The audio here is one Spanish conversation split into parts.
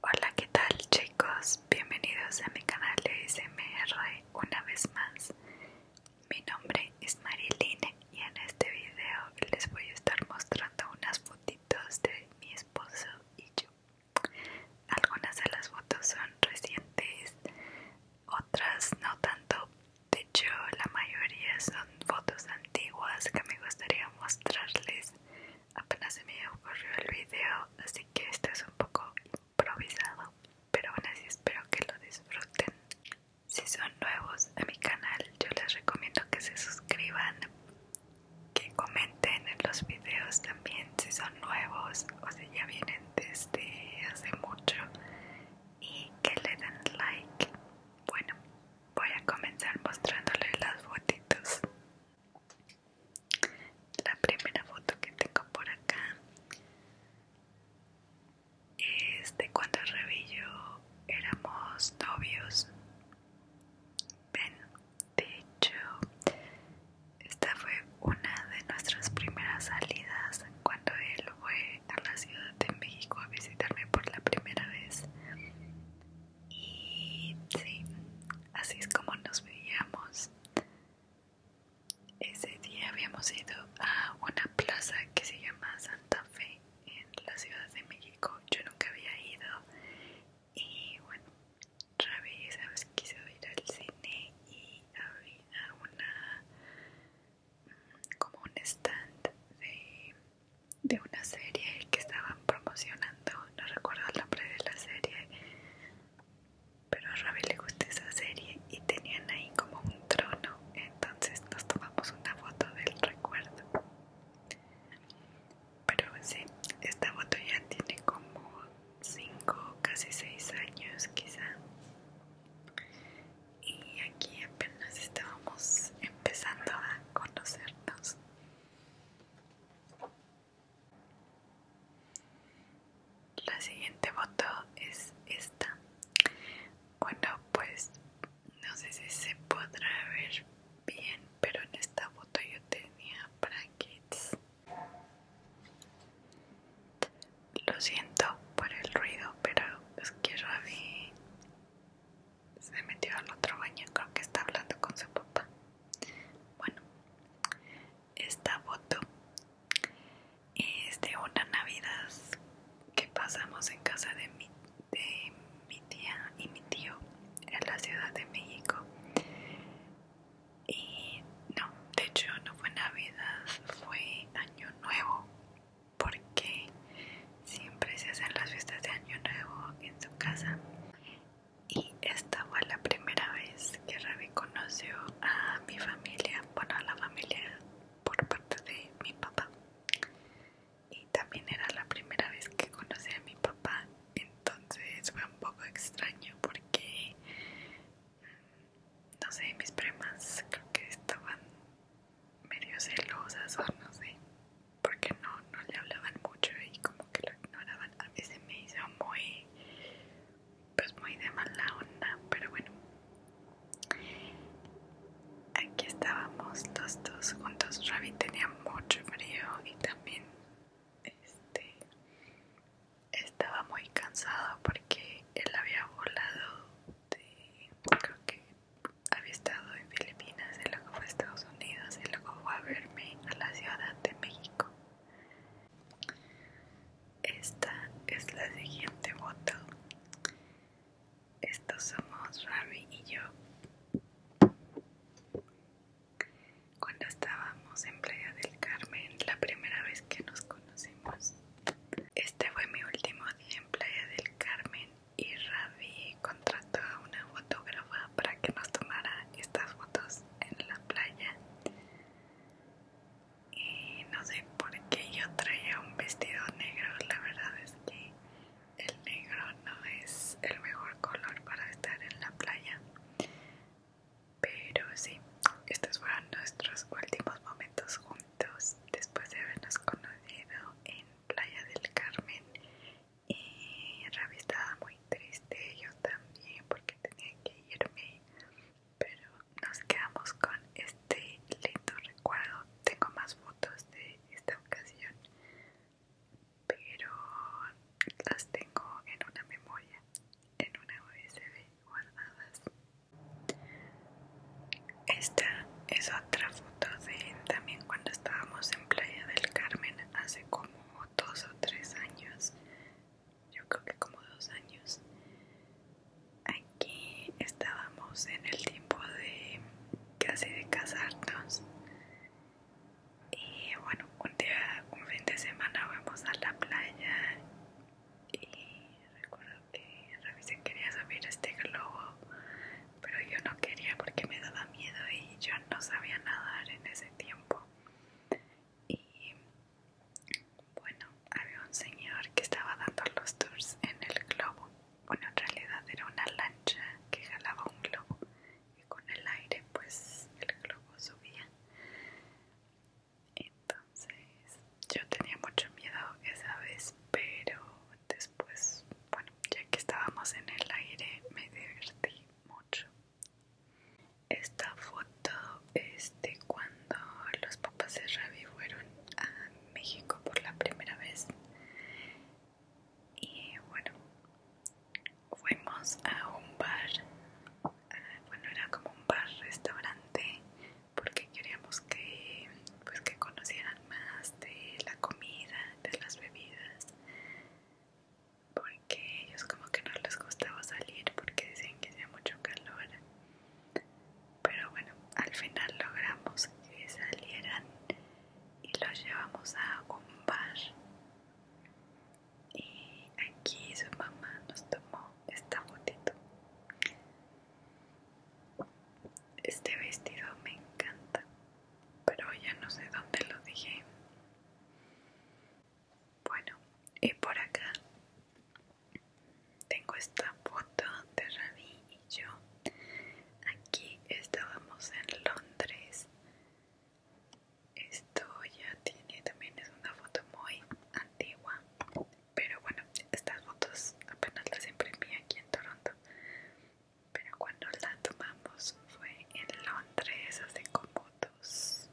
Hola, ¿qué tal chicos? Bienvenidos a mi canal de SMR una vez más. Mi nombre es Marilyn y en este video les voy a estar mostrando unas fotitos de mi esposo y yo. Algunas de las fotos son recientes, otras no tanto. De hecho, la mayoría son fotos antiguas que me gustaría mostrarles apenas se me ocurrió el video así que esto es un poco improvisado pero aún así espero que lo disfruten si son nuevos a mi canal yo les recomiendo que se suscriban que comenten en los videos también si son nuevos o si ya vienen desde hace mucho y que le den like bueno voy a comenzar mostrándoles las fotitos la primera foto que tengo por acá es de cuando yo éramos novios. Ven, de hecho, esta fue una de nuestras primeras salidas cuando él fue a la Ciudad de México a visitarme por la primera vez. Y sí, así es como nos veíamos. Ese día habíamos ido a una plaza que se llama Santa Fe en la Ciudad de México. Yo nunca había ido. Y bueno, otra sabes, quise ir al cine y había una. Mm, como un stand de de una serie que estaban promocionando, no recuerdo el nombre de la serie, pero a Ravi le gustó esa serie y tenían ahí como un trono, entonces nos tomamos una foto del recuerdo. Pero sí, esta foto ya tiene como 5, casi 6 años quizá. Y aquí apenas estábamos empezando a conocernos. La siguiente foto es esta. Bueno, pues no sé si se podrá ver bien, pero en esta foto yo tenía brackets. Lo siento por el ruido, pero es que yo vi se metió al otro baño, creo que está hablando con su papá. Bueno, esta foto es de una Navidad que pasamos en casa de mi, de mi tía y mi tío en la Ciudad de México. Y no, de hecho no fue Navidad, fue Año Nuevo, porque Siempre se hacen las fiestas de Año Nuevo en su casa. Y esta fue la primera vez que Ravi conoció a mi familia, bueno, a la familia por parte de mi papá. Y también era la primera vez que conocí a mi papá, entonces fue un poco extraño porque, no sé, mis primas creo que estaban medio celosas o no sé, porque no, no le hablaban mucho y como que lo ignoraban. A veces me hizo muy, pues muy de mala onda, pero bueno. Aquí estábamos los dos juntos. Ravi tenía mucho frío y también este, estaba muy cansado porque él había volado de, creo que había estado en Filipinas, y luego fue a Estados Unidos y luego a verme a la Ciudad de México. Esta es la siguiente foto. Estos somos Rami y yo. Cuando estábamos en Playa del Carmen, la primera vez que nos conocimos, este fue mi último día en Playa del Carmen y Ravi contrató a una fotógrafa para que nos tomara estas fotos en la playa y no sé por qué yo traía un vestido negro la verdad es que el negro no es el mejor color para estar en la playa pero sí estos fueron nuestros últimos momentos juntos después de habernos conocido en Playa del Carmen y Ravi estaba muy triste, yo también porque tenía que irme, pero nos quedamos con este lindo recuerdo. Tengo más fotos de esta ocasión, pero las tengo en una memoria, en una USB guardadas. Esta es otra foto de también cuando estábamos en Playa del Carmen hace como dos o tres años. Yo creo que como dos años. Aquí estábamos en el tiempo de casi de casarnos. Y bueno, un día, un fin de semana vamos a la playa y recuerdo que Ravi se quería subir este globo pero yo no quería porque me daba miedo y yo no sabía nadar en ese tiempo. Y bueno, había un señor que estaba dando los tours en el globo. Bueno, en realidad era una lancha que jalaba un globo y con el aire pues el globo subía. Entonces yo tenía mucho miedo esa vez, pero después bueno, ya que estábamos en el aire me divertí mucho. Esta foto es de cuando los papás de Ravi fueron a México por la primera vez. Y bueno, fuimos a un bar. Bueno, era como un bar restaurante porque queríamos que pues que conocieran más de la comida, de las bebidas, porque ellos como que no les gustaba salir porque decían que hacía mucho calor. Pero bueno, al final logramos que salieran y los llevamos a un bar. Y aquí su mamá nos tomó esta fotito. Este vestido me encanta, pero ya no sé dónde lo dije. Bueno, y por acá tengo esta foto de Ravi y yo. Aquí estábamos en Londres. Esto ya tiene también es una foto muy antigua, pero bueno, estas fotos apenas las imprimí aquí en Toronto pero cuando la tomamos fue en Londres hace como dos,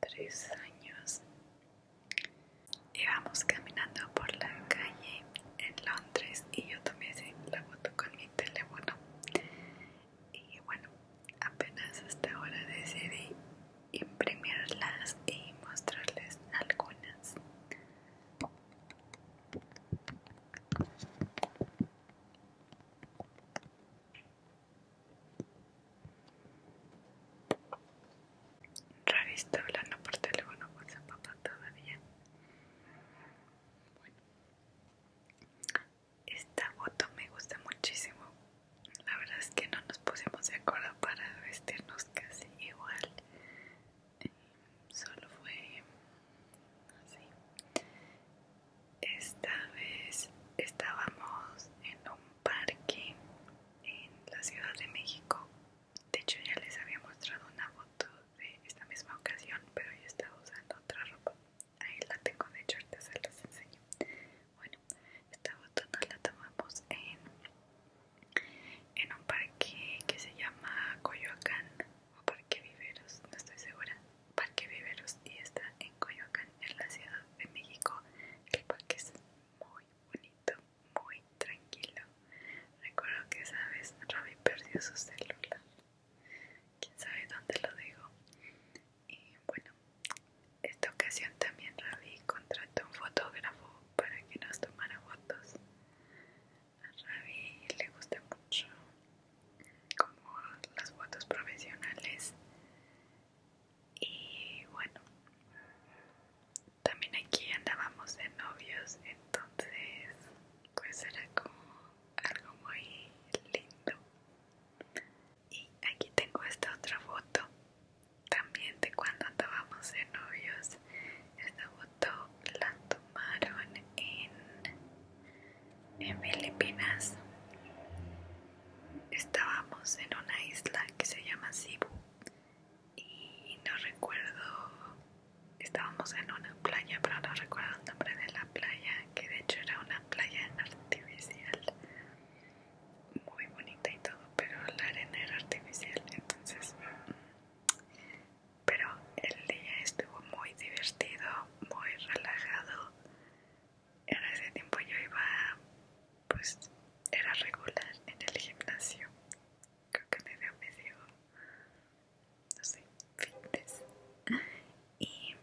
tres años. Íbamos caminando por la calle en Londres y yo tomé la foto con mi teléfono. Y bueno, apenas hasta ahora decidí imprimirlas y mostrarles algunas. Ravi está hablando por teléfono con su papá todavía. Bueno. Esta foto me gusta muchísimo. La verdad es que no nos pusimos de acuerdo para vestirnos casi igual solo fue así. Esta vez estábamos en un parque en la Ciudad de México. De hecho ya les había mostrado una foto de esta misma ocasión, pero yo estaba usando otra ropa. Ahí la tengo, de hecho ahorita se las enseño. Bueno, esta foto nos la tomamos en en un parque que se llama Coyoacán o Parque Viveros, no estoy segura. Parque Viveros y está en Coyoacán, en la Ciudad de México. El parque es muy bonito, muy tranquilo. Recuerdo que esa vez Robbie perdió su celular. Quién sabe dónde lo dejó. Y bueno, esta ocasión también Robbie contrató un fotógrafo para que nos tomara fotos a Rabi le gusta mucho como las fotos profesionales y bueno también aquí andábamos de novios entonces pues era como algo muy lindo y aquí tengo esta otra foto también de cuando andábamos de novios esta la tomaron en, en Filipinas. Estábamos en una isla que se llama Cebu y no recuerdo, estábamos en una playa, pero no recuerdo el nombre de la playa, que de hecho era una playa artificial muy bonita y todo, pero la arena era artificial, entonces mm, pero el día estuvo muy divertido, muy relajado. En ese tiempo yo iba, pues era regular en el gimnasio. Creo que me dio medio, no sé, fintes. Y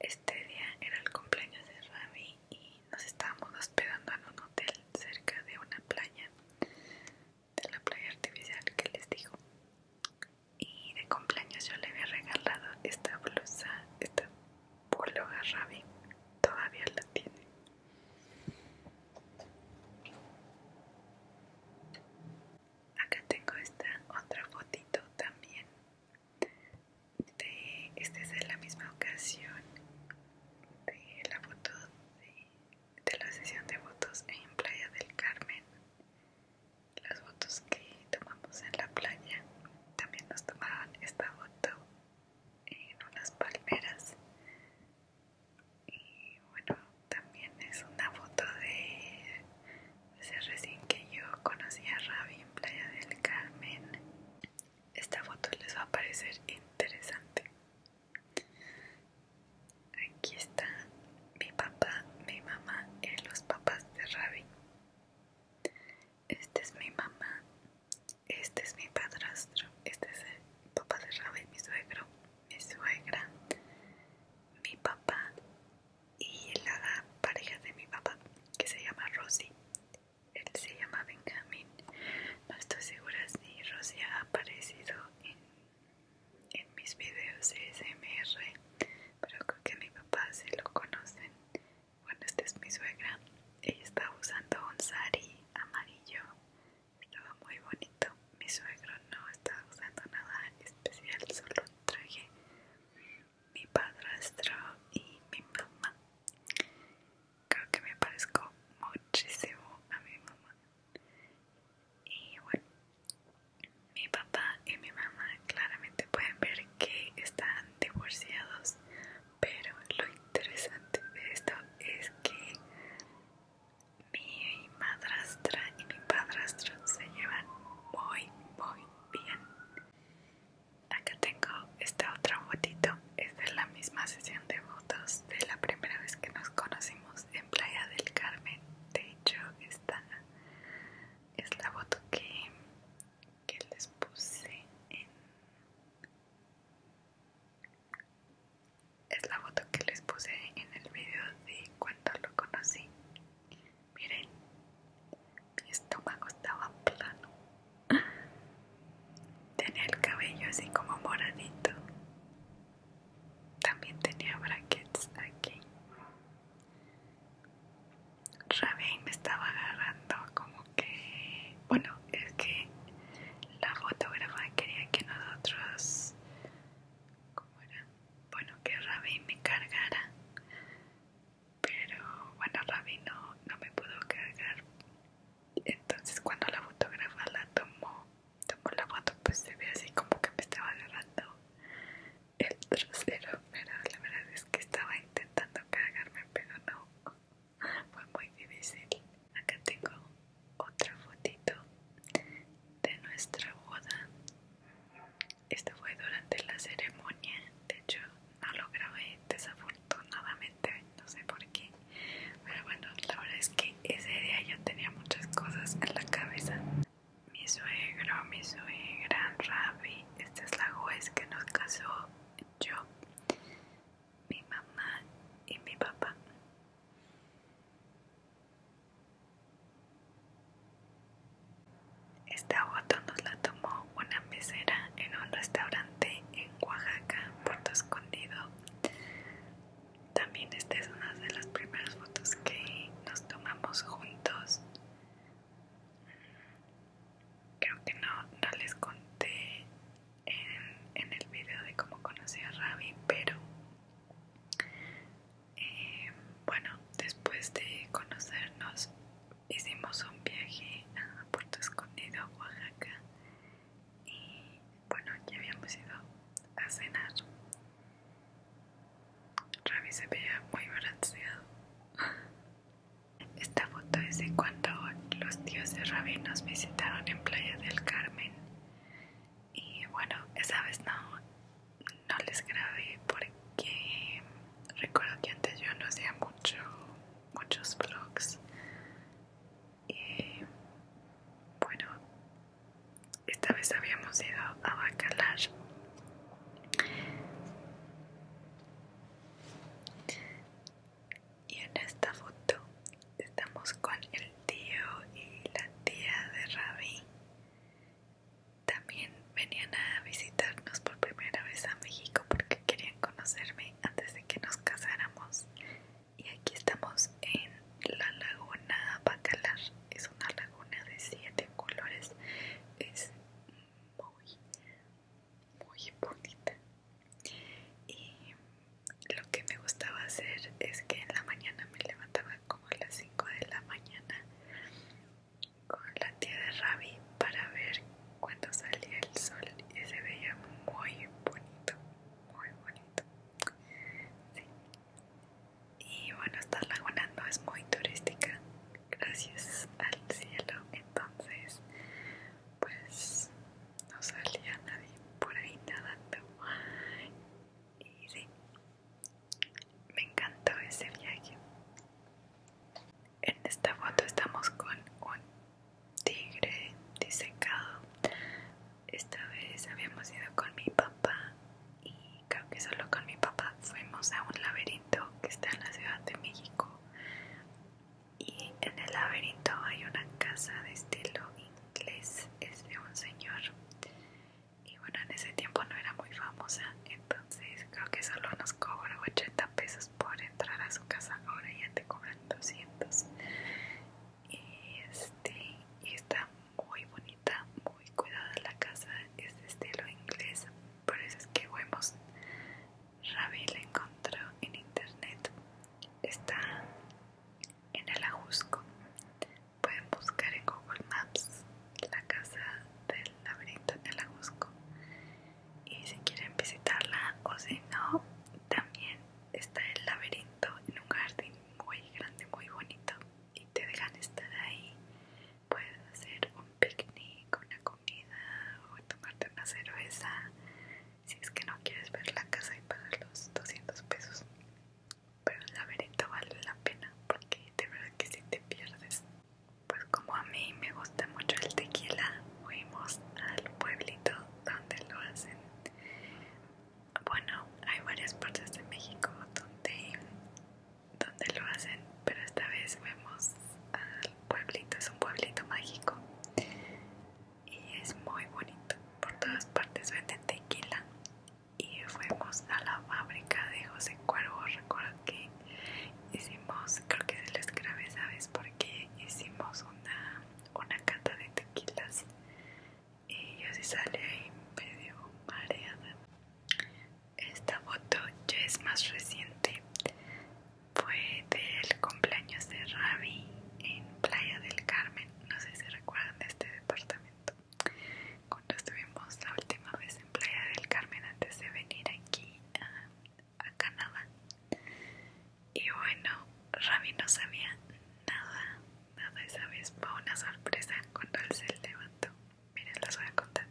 este día era el cumpleaños de Rami y nos estábamos hospedando en un hotel cerca de una playa de la playa artificial que les digo y de cumpleaños yo le había regalado esta blusa esta polo a todavía la tiene acá tengo esta otra fotito también de, este es de la misma ocasión de la foto de de la sesión de fotos en Playa del Carmen. Las fotos que tomamos en la playa también nos tomaron esta foto en unas palmeras. Y bueno, también es una foto de ese recién que yo conocí a Ravi en Playa del Carmen. Esta foto les va a parecer interesante. Aquí está mi papá, mi mamá y los papás de Ravi. Este es mi mamá, este es mi padrastro, este es el papá de Ravi, mi suegro, mi suegra, mi papá y la pareja de mi papá que se llama Rosy él se llama Benjamin. No estoy segura si Rosia ha aparecido en, en mis videos SMR, pero creo que mi papá se lo conocen. Bueno, esta es mi suegra. Ella estaba usando un sari amarillo. Estaba muy bonito. Mi suegro no estaba usando nada en especial, solo traje mi padrastro y mi mamá creo que me parezco muchísimo a mi mamá. Y bueno, mi papá y mi mamá claramente pueden ver que están divorciados, pero lo interesante de esto es que mi madrastra y mi padrastro se llevan muy, muy bien. Acá tengo esta otra fotito esta es la misma sesión de fotos de la primera vez que nos conocimos en Playa del Carmen. De hecho, esta es la foto que, les puse en... Es la foto que les puse en el video de cuando lo conocí. Miren, mi estómago estaba plano. Tenía el cabello así como moradito. También tenía brackets aquí. Rabin me estaba agarrando como que... Bueno, es que la fotógrafa quería que nosotros... ¿Cómo era? Bueno, que Rabin me cargara. Pero bueno, Rabin no, no me pudo cargar entonces cuando la fotógrafa la tomó tomó la foto pues se ve así como que me estaba agarrando el trasero pero la verdad es que estaba intentando cagarme pero no fue muy difícil acá tengo otra fotito de nuestra boda esto fue durante la ceremonia de hecho no lo grabé desafortunadamente no sé por qué. Pero bueno, la verdad es que ese día yo tenía muchas cosas en la cabeza. Mi suegro, mi suegra, Ravi, esta es la juez que nos casó, yo, mi mamá y mi papá. Esta foto nos la tomó una mesera en un restaurante Oaxaca, Puerto Escondido. También esta es una de las primeras fotos que nos tomamos juntos. Creo que no, les conté en, el video de cómo conocí a Ravi, pero eh, bueno, después de conocernos hicimos un viaje a Puerto Escondido, Oaxaca y bueno ya habíamos ido a cenar Ravi se veía muy balanceado esta foto es de cuando los tíos de Ravi nos visitaron en Playa del Carmen y bueno esa vez no no les grabé porque recuerdo que antes yo no hacía mucho muchos vlogs y bueno, esta vez habíamos ido a Bacalar, Y en esta foto estamos con el tío y la tía de Ravi. También venían a visitarnos por primera vez a México porque querían conocerme antes de que nos casáramos y aquí estamos en la laguna Bacalar es una laguna de siete colores es muy muy bonita y lo que me gustaba hacer es que en la mañana me levantaba como a las 5 de la mañana con la tía de Ravi para ver cuando salía el sol y se veía muy bonito, muy bonito. Sí. Y bueno, esta laguna no es muy turística, gracias al cielo, entonces pues no salía nadie por ahí nadando. Y sí, me encantó ese viaje. En esta foto estamos con un tigre disecado. Esta vez habíamos ido con mi papá y creo que solo con mi papá fuimos a un laberinto que está en la Ciudad de México. Y en el laberinto hay una casa de estilo inglés, es de un señor. Y bueno, en ese tiempo no era muy famosa, entonces creo que solo nos cobró 80 pesos por entrar a su casa, ahora ya te cobran 200. Este, y está muy bonita, muy cuidada la casa, es de estilo inglés. Por eso es que vemos Ravi la encontró en internet. Está en el Ajusco. Pueden buscar en Google Maps la casa del laberinto en el Ajusco y si quieren visitarla o si no también está el laberinto en un jardín muy grande muy bonito y te dejan estar ahí puedes hacer un picnic una comida o tomarte una cerveza si es que no quieres ver la casa y pagar los 200 pesos pero el laberinto vale la pena porque de verdad que si te pierdes pues como a mí me gusta mucho el tequila, fuimos al pueblito donde lo hacen. Bueno, hay varias partes de México donde, donde lo hacen, pero esta vez fuimos al pueblito, es un pueblito mágico y es muy bonito. Por todas partes venden tequila y fuimos a la fábrica de José Cuervo, recuerdo que hicimos, creo que se les grabé, ¿sabes? Porque hicimos una, una cata de tequilas y yo sí salí ahí medio mareada. Esta foto ya es más reciente, fue del cumpleaños de Ravi en Playa del Carmen, no sé si recuerdan de este departamento. Cuando estuvimos la última vez en Playa del Carmen antes de venir aquí a Canadá. Y bueno, Rabi no sabía nada, nada esa vez. para una sorpresa cuando él se levantó. Miren, les voy a contar.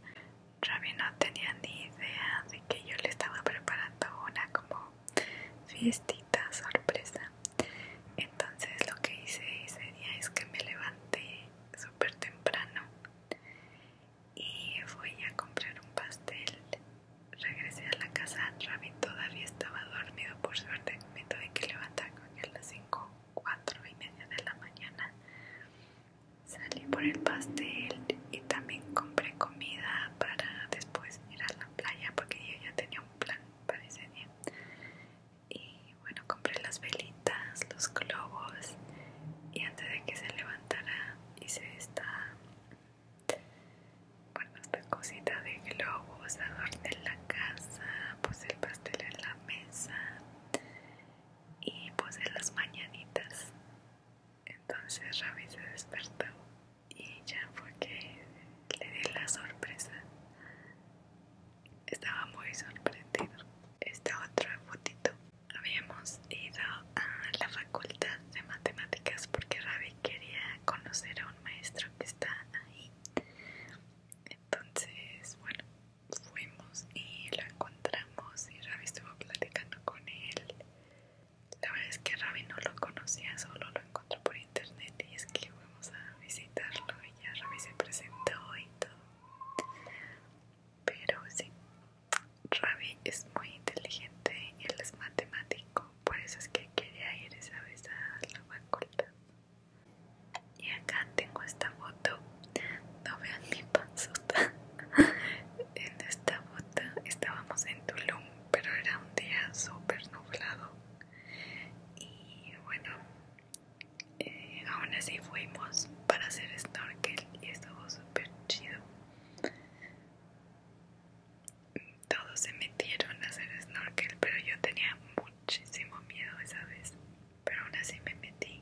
Rami no tenía ni idea de que yo le estaba preparando una como fiestita sorpresa. Entonces lo que hice ese día es que me levanté súper temprano y fui a comprar un pastel. Regresé a la casa, Rabbit todavía estaba dormido, por suerte me tuve que levantar a las 5, 4 y media de la mañana. Salí por el pastel y también compré comida para después ir a la playa porque yo ya tenía un plan para ese día. Y bueno, compré las velitas, los globos y antes de que se levantara hice esta bueno, esta cosita de globos, adorné la casa, puse el pastel en la mesa y puse las mañanitas. Entonces Ravi se despertó y ya fue que le di la sorpresa. Estaba muy sorprendido. Esta otra fotito habíamos ido a la facultad de matemáticas porque Ravi quería conocer a un maestro que está ahí. Entonces, bueno, fuimos y lo encontramos y Ravi estuvo platicando con él. La verdad es que Ravi no lo conocía, solo lo encontró por internet y es que fuimos a visitarlo y ya Ravi se presentó y todo. Pero sí, Ravi es muy inteligente y él es matemático, por eso es que quería ir esa vez a la facultad. Y acá tengo esta foto, no vean mi panzota. en esta foto estábamos en Tulum, pero era un día súper nublado. Y bueno, eh, aún así fuimos para hacer snorkel y estuvo súper chido. Todos se metieron a hacer snorkel, pero yo tenía muchísimo miedo esa vez. Pero aún así me metí.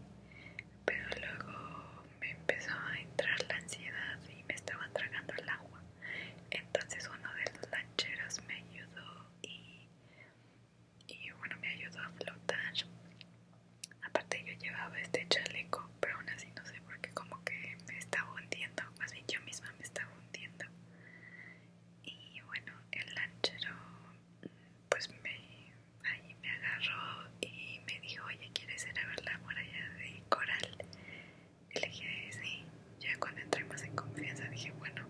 Pero luego me empezó a entrar la ansiedad y me estaban tragando el agua. Entonces uno de los lancheros me ayudó y, y bueno, me ayudó a flotar. Aparte yo llevaba este chaleco, pero aún así no sé por qué como que me estaba hundiendo, más bien yo misma me estaba hundiendo. Y bueno, el lanchero pues me, ahí me agarró y me dijo, oye, ¿quieres ir a ver la muralla de coral? elegí sí, ya cuando entré más en confianza dije, bueno,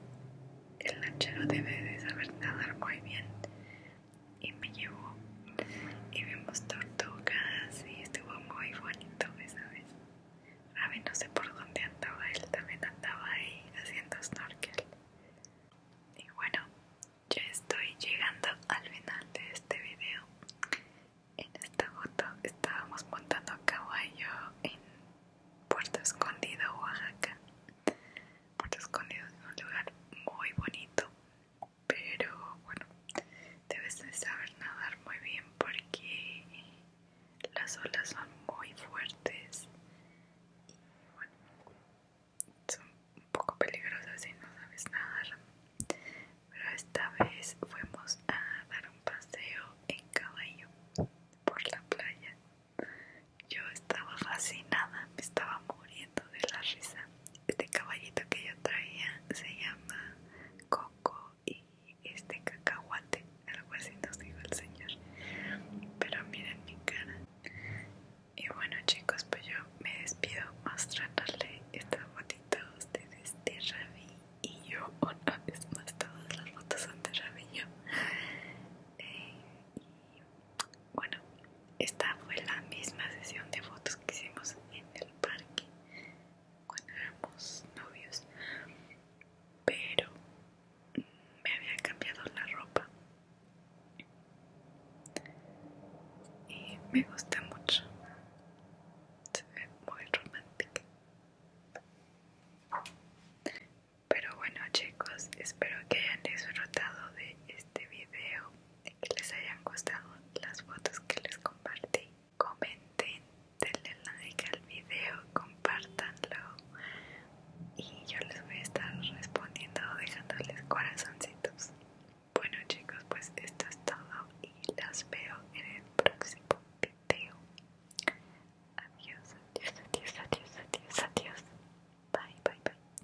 el lanchero debe de saber nadar muy bien, y me llevó y vimos tortugas y estuvo muy bonito esa vez. ver no sé por dónde andaba, él también andaba ahí haciendo snorkel. Y bueno, ya estoy llegando al final de este video. En esta foto estábamos montando a caballo en Puerto Escondido, Oaxaca. Puerto Escondido es un lugar muy bonito pero bueno, debes de saber nadar muy bien porque las olas son muy fuertes y bueno, son un poco peligrosas si no sabes nadar. Pero esta vez fuimos a dar un paseo en caballo por la playa. Yo estaba fascinada, me estaba muriendo de la risa. Este caballito que yo traía se llama Coco y este cacahuate, algo así nos dijo el señor. Pero miren mi cara. Y bueno chicos, pues yo me despido mostrándole esta fotito a ustedes de Ravi y yo una vez más todas las fotos son de Ravi yo. Eh, bueno, esta fue la misma sesión de fotos que hicimos en el parque cuando éramos novios, pero me había cambiado la ropa y me gusta mucho, se ve muy romántica. Pero bueno chicos, espero que hayan disfrutado de este video que les hayan gustado las fotos que les compartí. Comenten, denle like al video, compartanlo y yo les voy a estar respondiendo dejándoles corazoncitos. Bueno chicos, pues esto es todo y las veo en el próximo video. Adiós, adiós, adiós, adiós, adiós, adiós. Bye, bye, bye.